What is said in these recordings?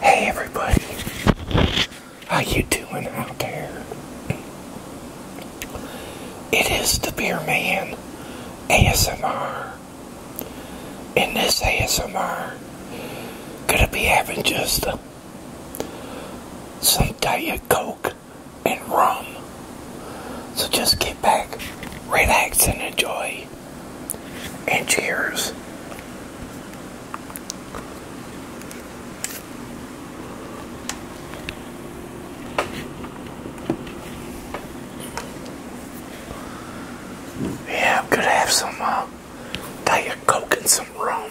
Hey everybody, how you doing out there? It is the Beer Man ASMR. In this ASMR, gonna be having just uh, some Diet Coke and rum. So just get back, relax, and enjoy and cheers. Yeah, i have some uh, Diet Coke and some rum.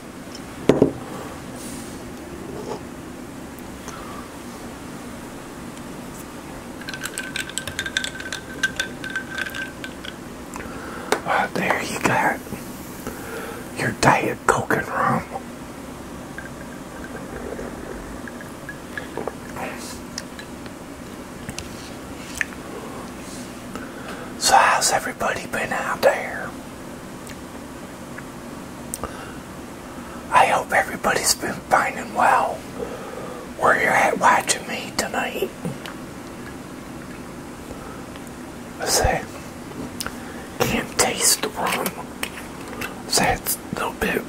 Uh, there you got your diet coke and rum. So how's everybody been out there? I hope everybody's been finding well where you're at watching me tonight. Say, can't taste the rum. That's a little bit.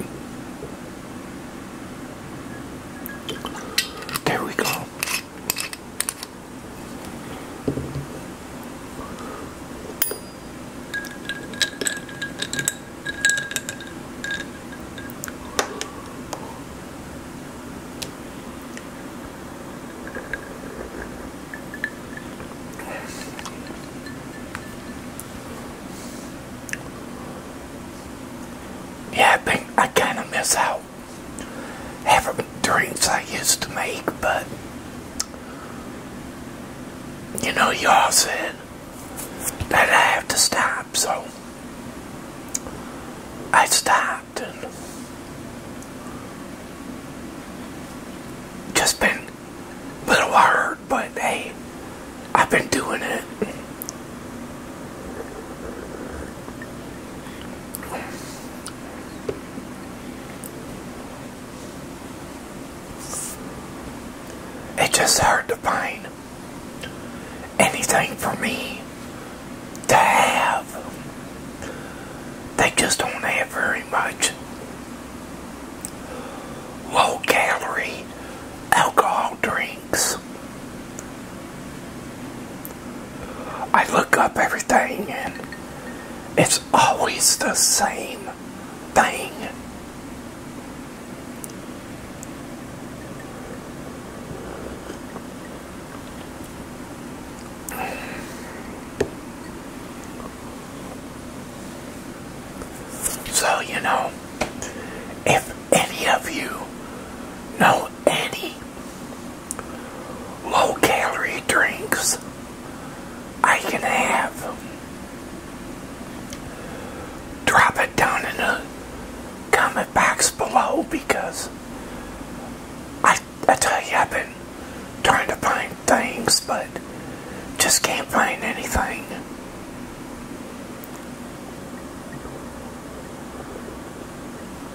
There we go. Yeah, I I kind of miss out. Haven't drinks I used to make, but you know, y'all said that I have to stop, so I stopped and just been a little hard, but hey, I've been doing it. It's just hard to find anything for me to have. They just don't have very much low calorie alcohol drinks. I look up everything and it's always the same thing. So, you know, if any of you know any low calorie drinks I can have. Drop it down in the comment box below because I, I tell you, I've been trying to find things but just can't find anything.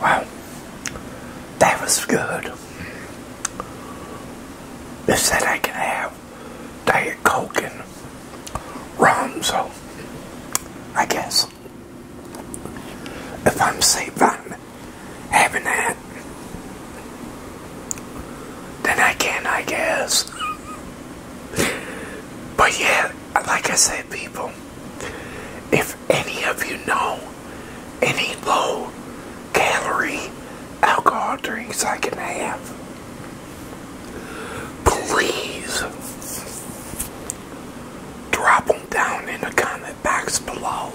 Wow, that was good. They said I can have Diet Coke and rum, so I guess if I'm safe on having that, then I can, I guess. but yeah, like I said, people, if any of you know any low calorie alcohol drinks I can have, please drop them down in the comment box below.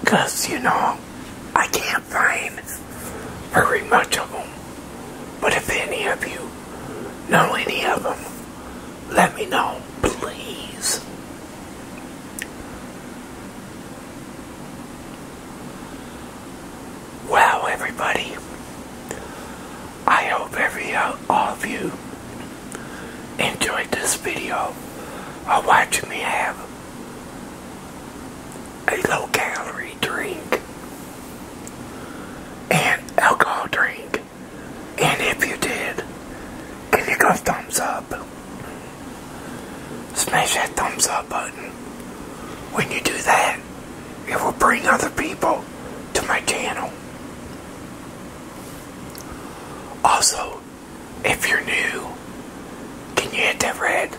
Because, you know, I can't find very much of them. But if any of you know any of them, let me know, please. Wow, everybody, I hope every uh, all of you enjoyed this video of watching me have a low-calorie drink and alcohol drink. And if you did, give you a thumbs up. Smash that thumbs up button. When you do that, it will bring other people to my channel. Also, if you're new, can you hit that red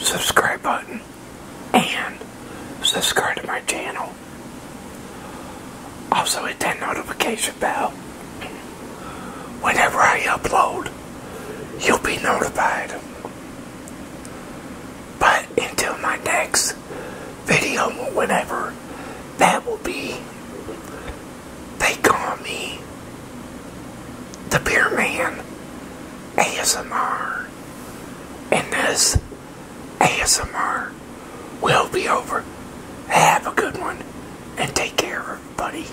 subscribe button and subscribe to my channel? Also, hit that notification bell. Whenever I upload, you'll be notified. But until my next video, whenever that will be, they call me the Beer Man ASMR. And this ASMR will be over. Have a good one and take care, everybody.